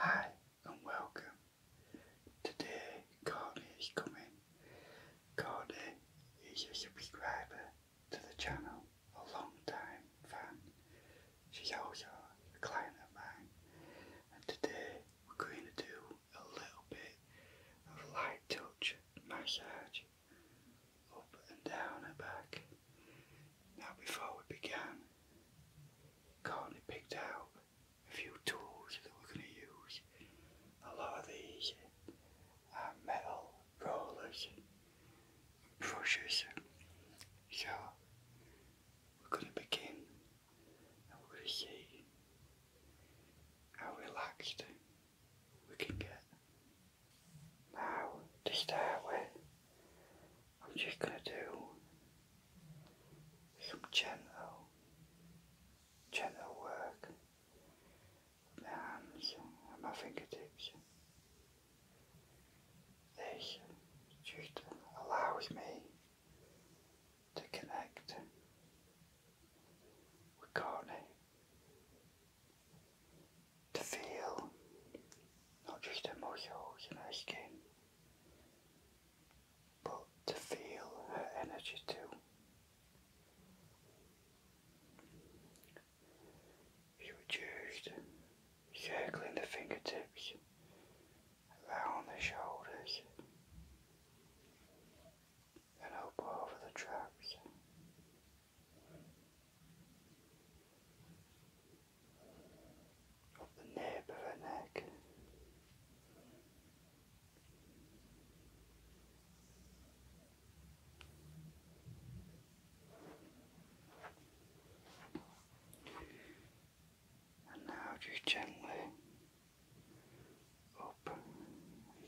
Hi and welcome. Today Courtney is coming. Courtney is a subscriber to the channel, a long time fan. She's also a client of mine and today we're going to do a little bit of light touch massage up and down her back. Now before we began, Courtney picked out a few tools that we're going to use. A lot of these are metal rollers brushes. So we're going to begin and we're going to see how relaxed we can get. Now, to start I'm just going to do some gentle, gentle work with my hands and my fingertips. This just allows me to connect we got eh? to feel not just emotions in her skin, but to feel her energy too. You just circling the fingertips around the shoulders and I'll go over the tracks. Up the nape of her neck. And now just gently Up,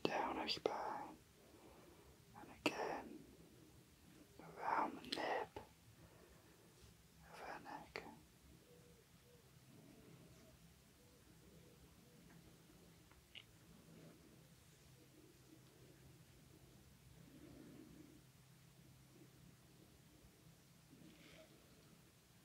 down as and again around the nape of her neck.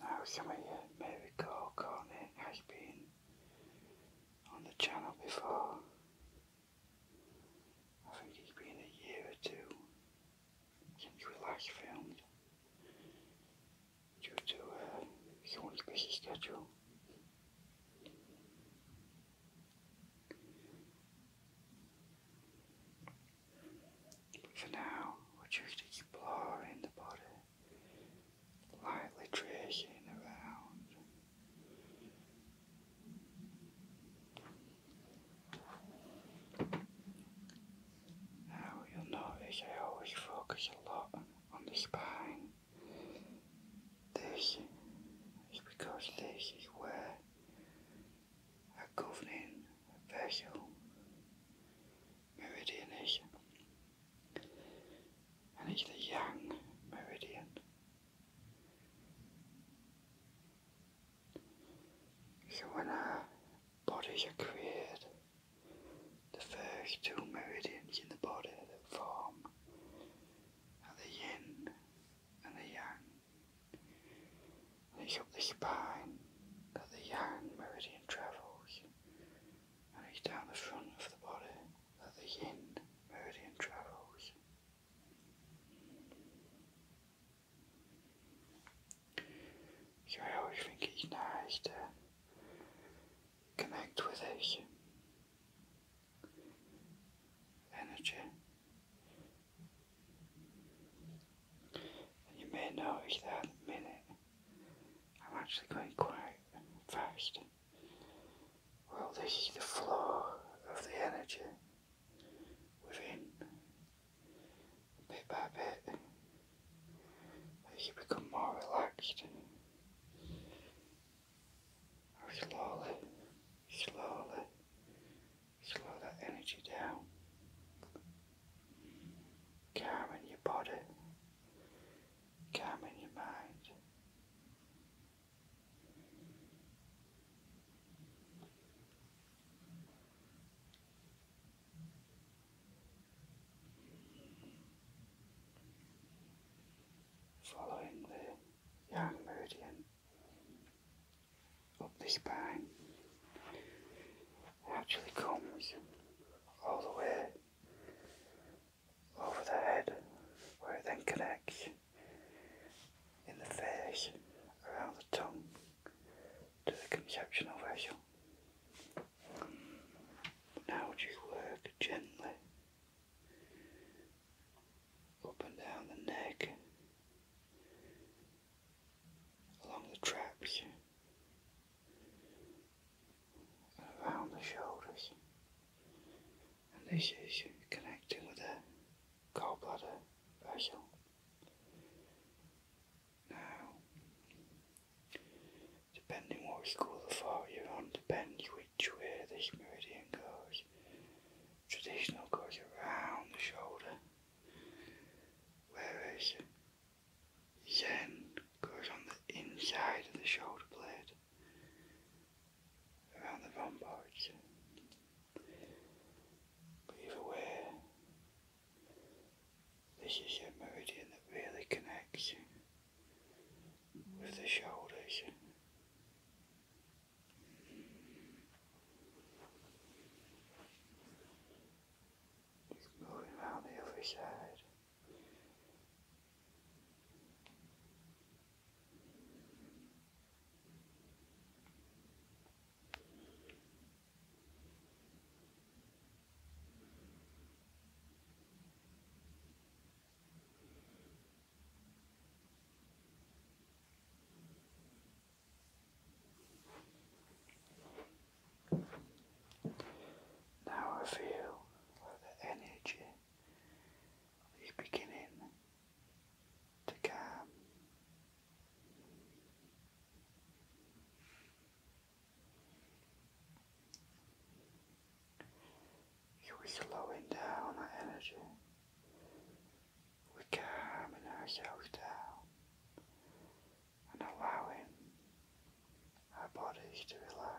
Now some of you may recall has been on the channel before. I think it's been a year or two central last filmed due to uh, someone's schedule. But for now, we're just exploring the body, lightly tracing around. Now you'll notice I always focus a lot on the spine. This is because this is where a governing vessel meridian is. And it's the yang meridian. So when our bodies are created, the first two meridians in the body that form are the yin and the yang. And it's up the spine that the yang meridian travels, and it's down the front of the body that the yin meridian travels. You're always thinking nice to connect with energy. And you may notice that in a minute I'm actually going quite fast. Well, this is the flow of the energy within, bit by bit, as you become more relaxed, slowly, slowly, slow that energy down, calming your body, calming your mind. Following the yang meridian up the spine, actually comes all the way over the head, where it then connects in the face around the tongue. To the injection of vessel. Now just work gently up and down the neck, along the traps, around the shoulders. And this is connecting with the gallbladder vessel. Now, depending what school of thought you're on, depends which way this meridian goes. Traditional goes around the shoulder, whereas Zen goes on the inside of the shoulder blade, around the rhomboids. But either this is your meridian that really connects with the shoulders. It's moving around the other side. Now I feel the energy is beginning to calm. You are slowing down our energy. We're calming ourselves down and allowing our bodies to relax.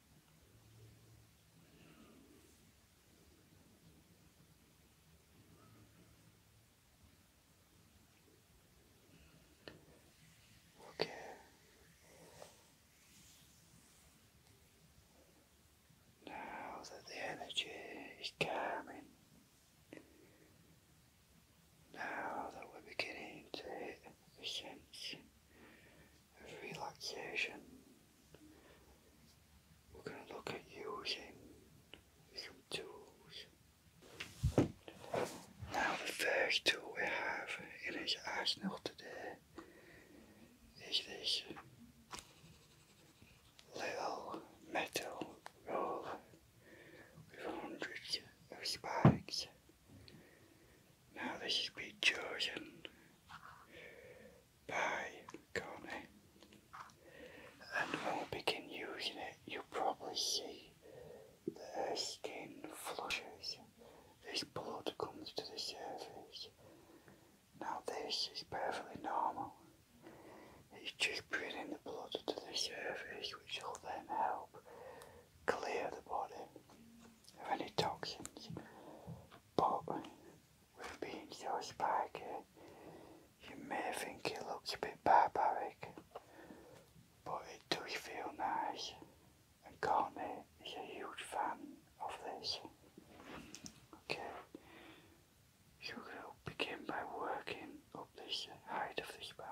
Okay. Now that the energy is calming, now that we're beginning to sense relaxation. We're going to look at using some tools. Now the first tool we have in our arsenal today is this little metal rod with hundreds of spikes. Now this has been chosen by Connie, and when we begin using it, you probably see that skin flushes, this blood comes to the surface. Now, this is perfectly normal, it's just bringing the blood to the surface, which will then help clear the body of any toxins. But with being so spiky, you may think it looks a bit barbaric, but it does feel nice, and Courtney is a huge fan of this. Okay, so we begin by working up this height of the spine.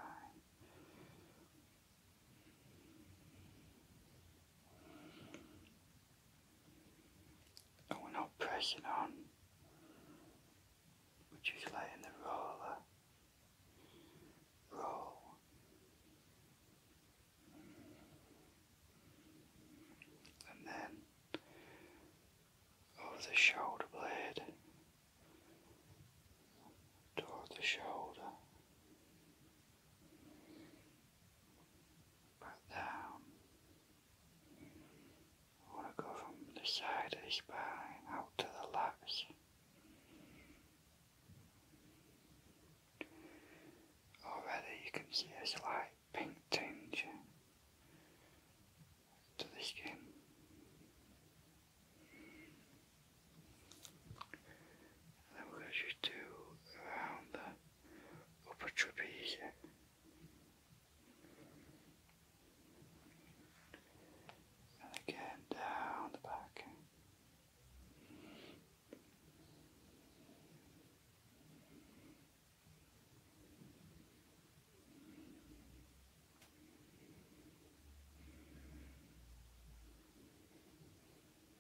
And we're not pressing on, we're just letting the roller roll. And then over the shoulder blade, towards the shoulder. But um, I want to go from the side of his out to the lats. Already you can see a slight pink tinge to the skin. then we're do around the употребили. And again down the back.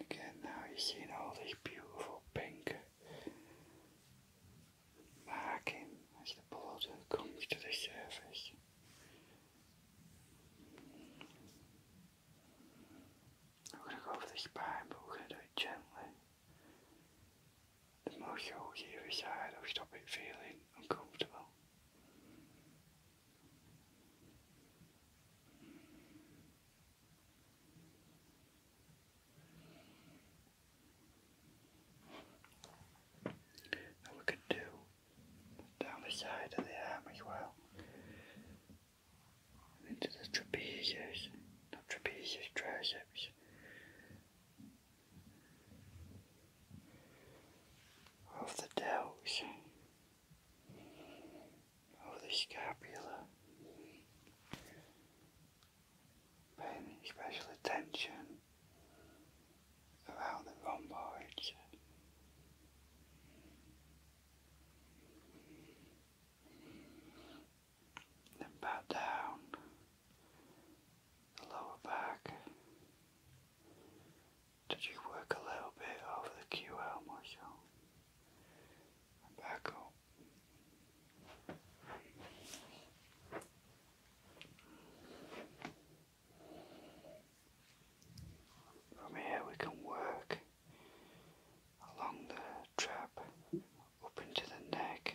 Again, now you're seeing all this beautiful pink marking as the blood comes to the surface. We're going to go for the it gently. The more shows either side, I'll feeling uncomfortable we could do down the side of the arm as well. into the trapezius, not trapezius, triceps. Of the delts. Oh, the scapula. Paying special attention around the rhomboids. Then back down the lower back. Did you work a little bit over the QL muscle? back up. From here we can work along the trap up into the neck.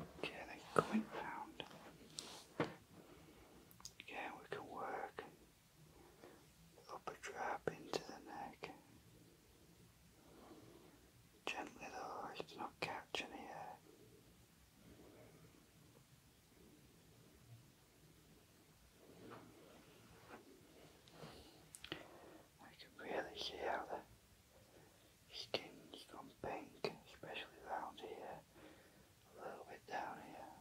Okay, then coming round. Again, we can work upper trap into the neck. Gently though, it's not catching here. I could really see how the skin's gone pink, especially round here, a little bit down here.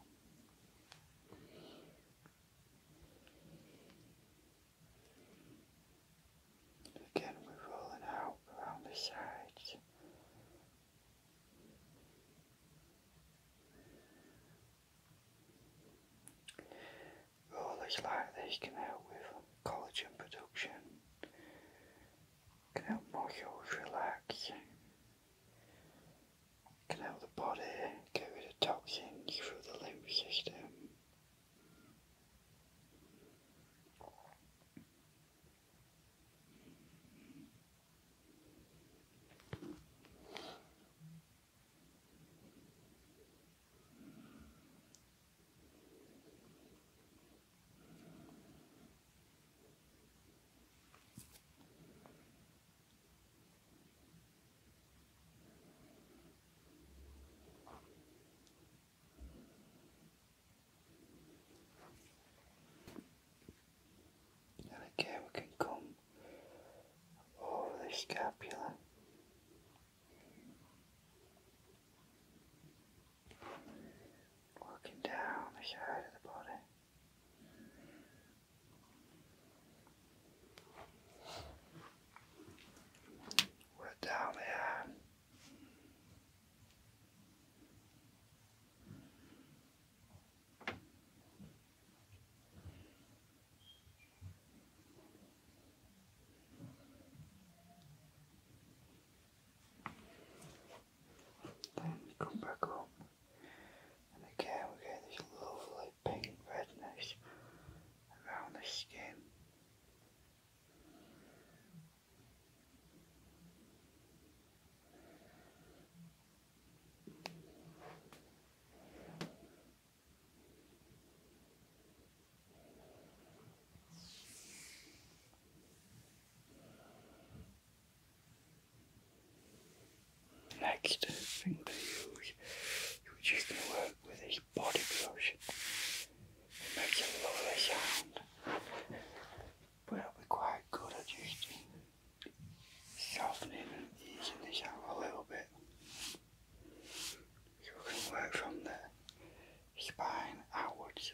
Again, we're rolling out around the sides. Rollers like these can help with collagen production, can help muscles relax, can help the body get the toxins through the lymph system. And again, we can come over the scapula. Working down the side of the body. we down the arm. Then we come back home, and again we get this lovely pink redness around the skin. Next thing to you can work with a body brush. It makes a lovely but it'll be quite good at using Softening naming these in the a little bit. You can work from the spine outwards.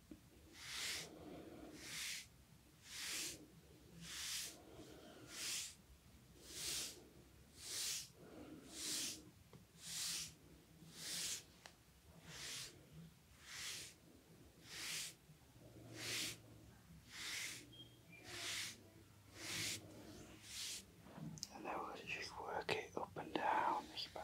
And then we just work it up and down this back.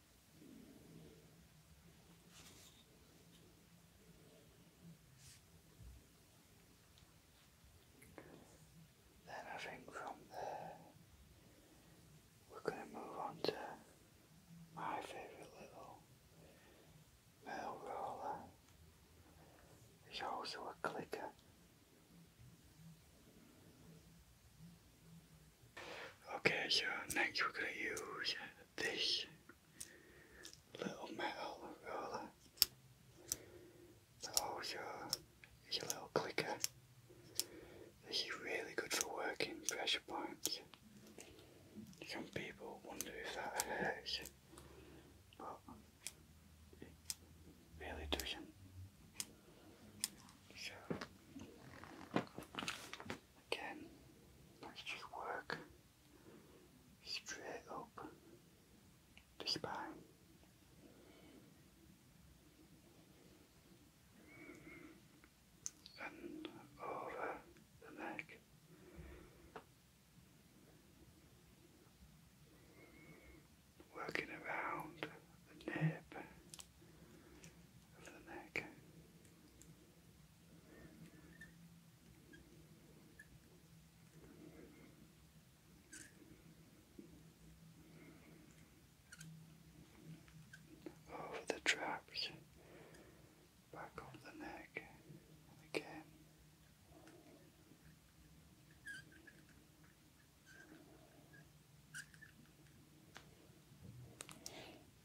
Then I think from there we're going to move on to my favourite little mill roller. It's also a clicker. Okay, so next we're going to use this little metal roller that holds your, your little clicker. This really good for working pressure points. Some people wonder if that hurts, but really doesn't. So, Again, let's just work straight up the spine. And over the neck. Working around the nape of the neck over oh, the traps, back over the neck, again.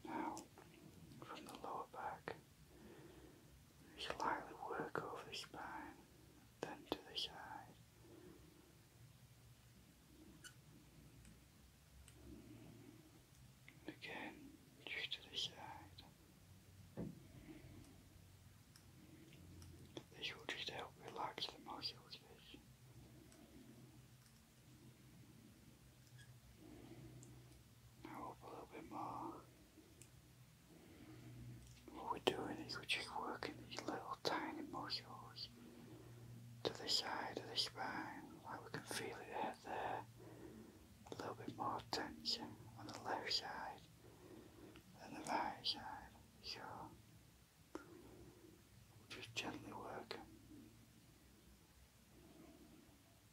Now, from the lower back, you lightly work over the spine, then to the side. again, to the side. This will just help relax the muscles up a little bit more. we're doing is we're working these little tiny muscles to the side of the spine, we can feel it there. A little bit more tension on the left side and the right side. So just gently work.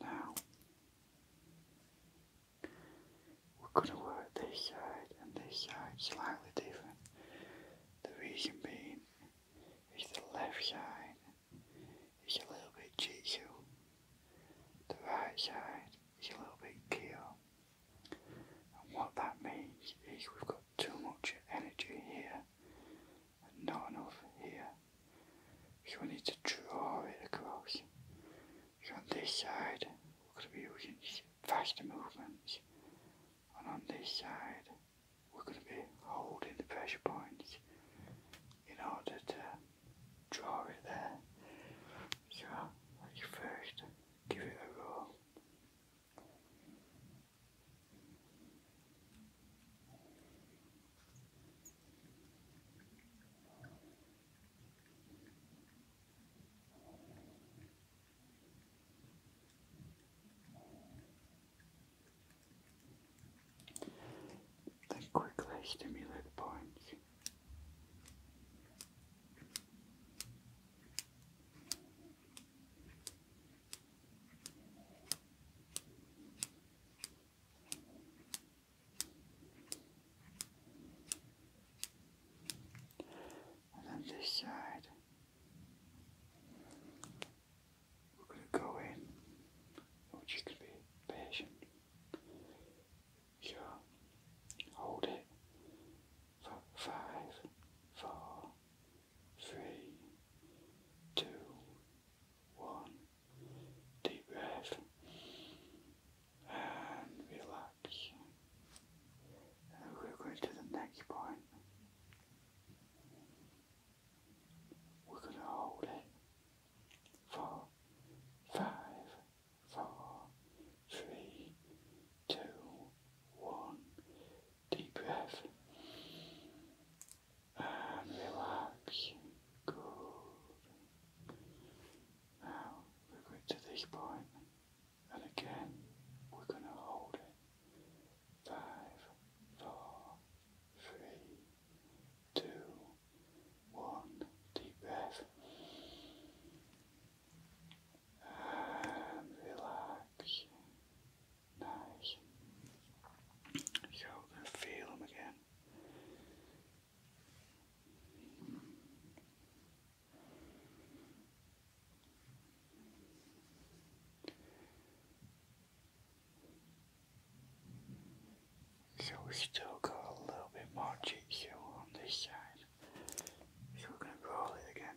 Now we're going to work this side and this side slightly different. The reason being is the left side is a little bit jitsu, the right side is a little bit keel. And what that means is we've got too much energy here and now here. You need to draw it across. on this side, we're going to be using faster movements, and on this side, we're going to be holding the pressure points in order to draw it there. So, let's first give it a roll. They quickly stimulate the points. And on this side, we're going to go in. I be patient. So, hold it five, four, three, two, one. Deep breath and relax. we're going to the next point. We're going to hold it for five, four, three, two, one. Deep breath and relax, good. Now we're to this point, and again we're going to hold it. Five, four, three, two, one. Deep breath. And relax. Nice. feel them again. So we still got a little bit more cheek on this side. So we're going to roll it again.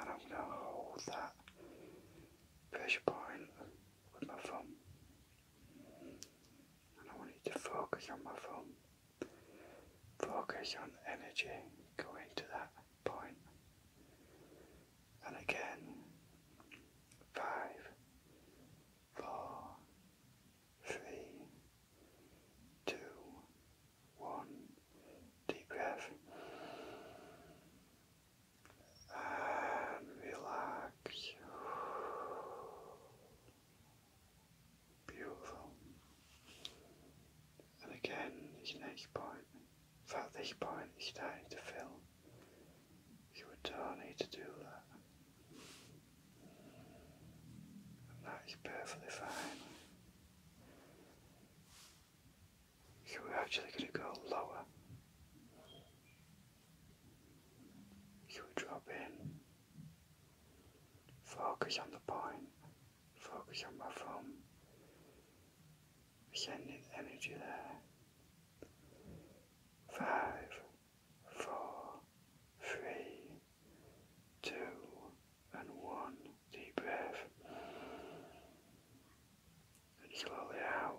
and I'm going to hold that pressure point with my thumb. And I want you to focus on my thumb. Focus on energy going to that point. And again, five, four, three, two, one. Deep breath and relax. Beautiful. And again, his next point, in this point is starting to feel, You would don't need to do that. And that is perfectly fine. Here we're actually going to go lower. Here we drop in. Focus on the point. Focus on my thumb. Sending energy there. Five, four, three, two, and one. Deep breath and slowly out.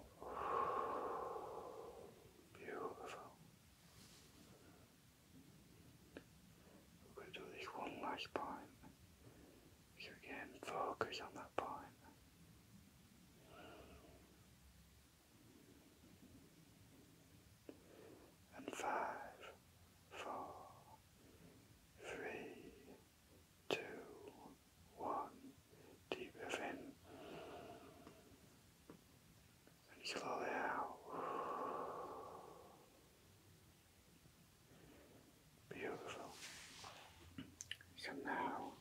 Beautiful. we do this one last point. again, focus on that point. And five, four, three, two, one. Deep breath in. And slowly out. Beautiful. So now,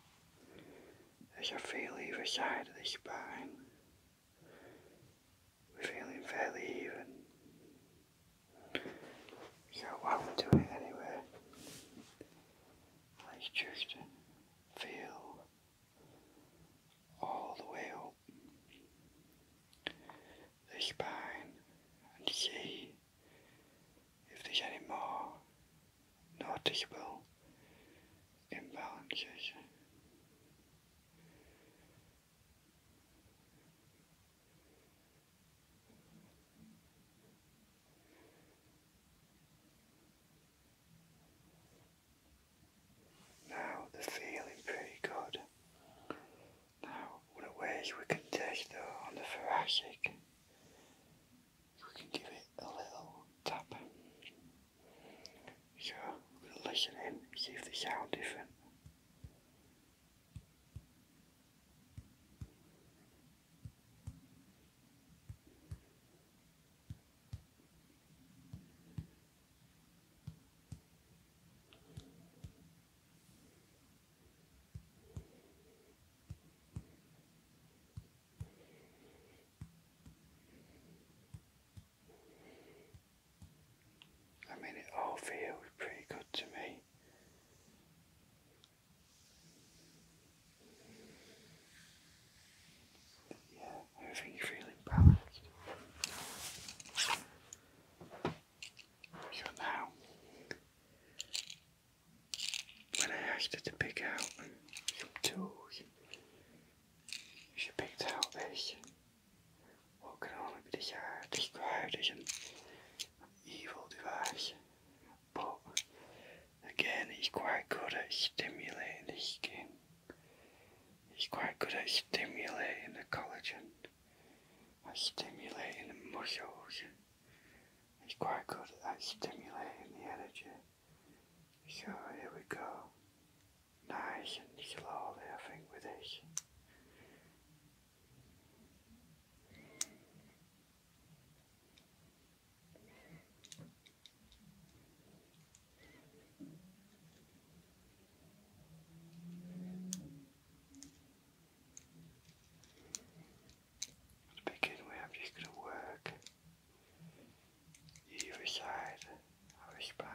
as I feel either side of the spine, we're feeling fairly even. So I would do it anyway. let just feel all the way up the spine and see if there's any more noticeable imbalances. Now they feeling pretty good. Now, what a ways we can take though on the thoracic, we can give it a little tap. So, we're going to listen in, see if they sound different. I mean, it all feels pretty good to me. Yeah, everything you feeling balanced. So now, when I asked her to pick out she picked out this, what can only be described as evil device. But again, he's quite good at stimulating the skin. He's quite good at stimulating the collagen, at stimulating the muscles. He's quite good at stimulating the energy. So here we go. Nice and slowly, I with this. To begin with, i just going to work either side of the spine.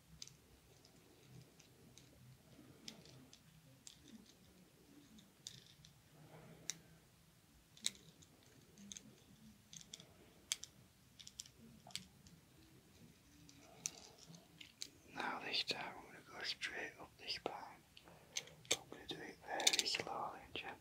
Now this I'm going to go straight up this pine. I'm going to do it very slowly and gently.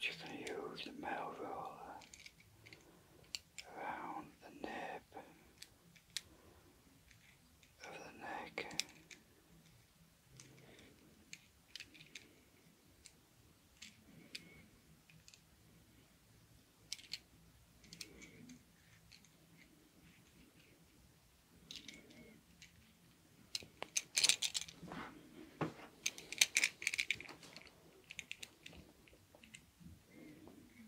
Just you to use the metal roller around the nib of the neck.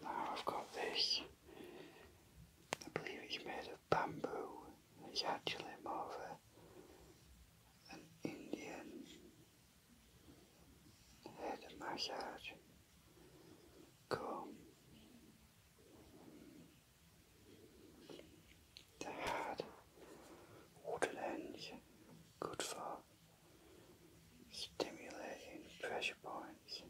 Now I've got this. I believe it's made of bamboo. It's actually more of an Indian head massage comb. The head, waterlands, good for stimulating pressure points.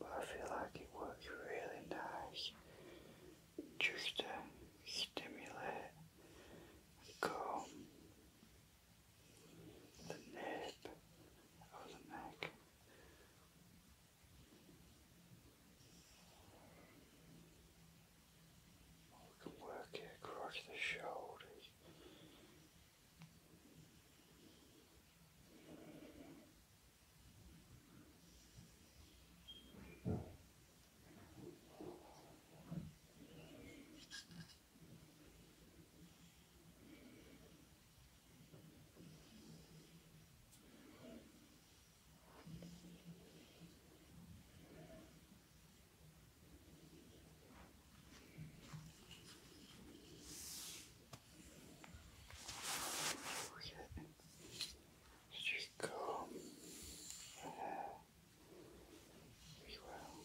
But I feel like it works really nice just to stimulate the nape of the neck. Oh, we can work it across the shoulders. There you go. Uh, we will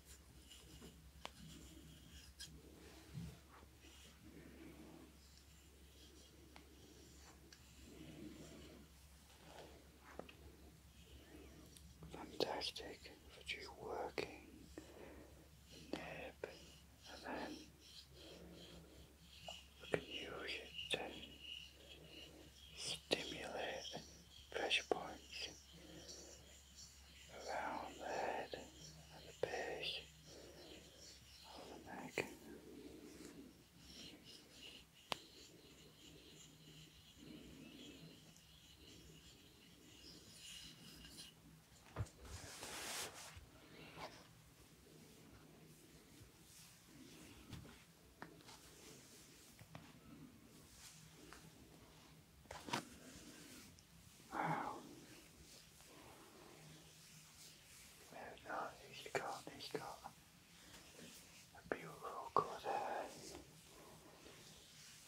Fantastic for you working nib and then we can use it to stimulate points around the head and the back of the neck. Wow. Very nice. he a beautiful colour hair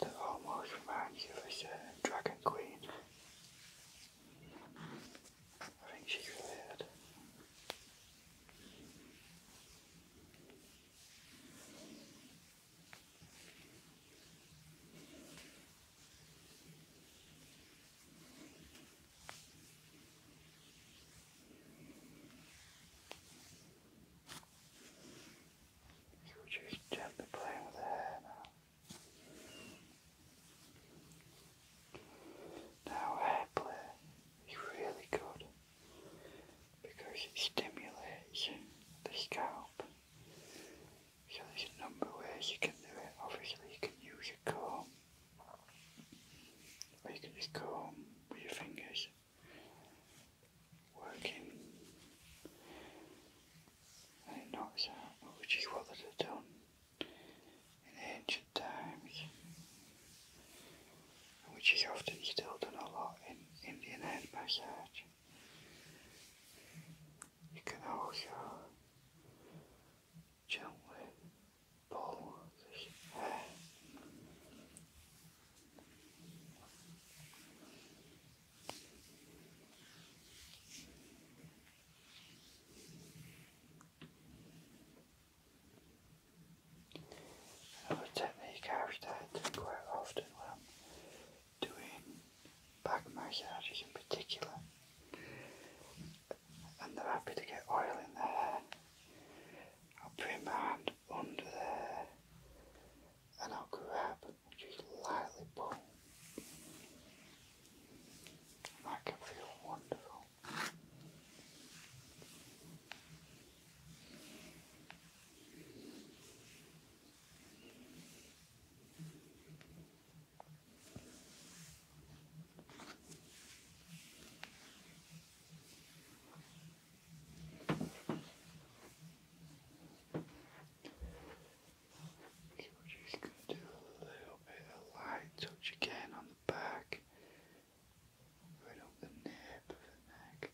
that almost reminds you of a certain dragon queen. I think she's related. So we're just gently playing with the hair now. Now hair play is really good because it stimulates the scalp so there's a number of ways you can do it. Obviously you can use a comb or you can just comb with your fingers working and it knocks out, which is what they had done in ancient times which is often still done a lot in Indian head massage. You can also gently pull this hair. technique i quite often when doing back massage in particular. And they're happy oil in their hair. I'll bring my hand under there and I'll grab just lightly pull. that can feel wonderful. Okay, we just going to do a little bit of light touch again on the back, right up the nape of the neck.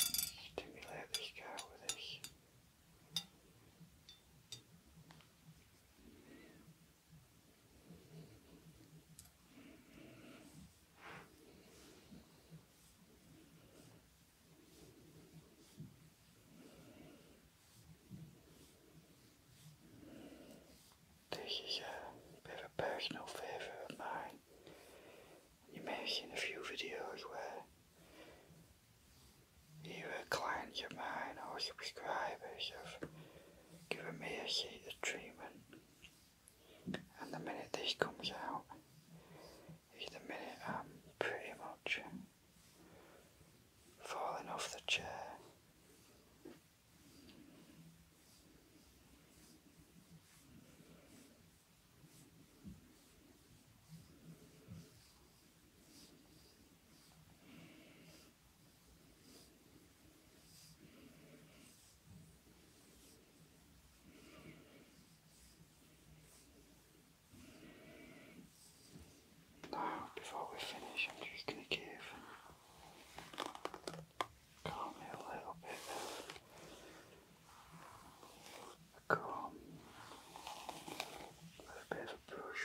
stimulate this guy with this. This is a bit of a personal favourite of mine you make in a few videos where you're either clients of mine or subscribers have given me a seated treatment and the minute this comes out is the minute I'm pretty much falling off the chair. Now, before we finish, I'm just going to give comb it a little bit a bit of a brush.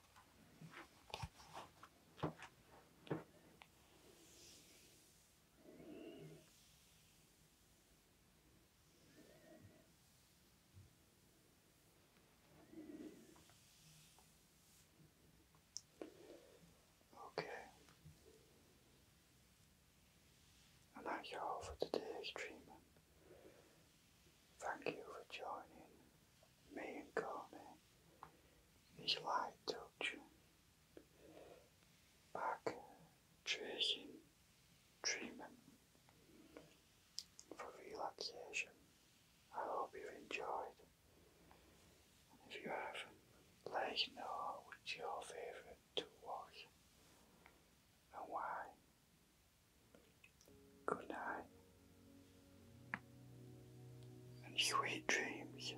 Oké. Okay. En dan gaan over de streamen. Thank you for joining me and Corny in his light touch back tracing treatment for relaxation. I hope you enjoyed. if you have, let us know which your favourite tool was and why. Good night and sweet dreams.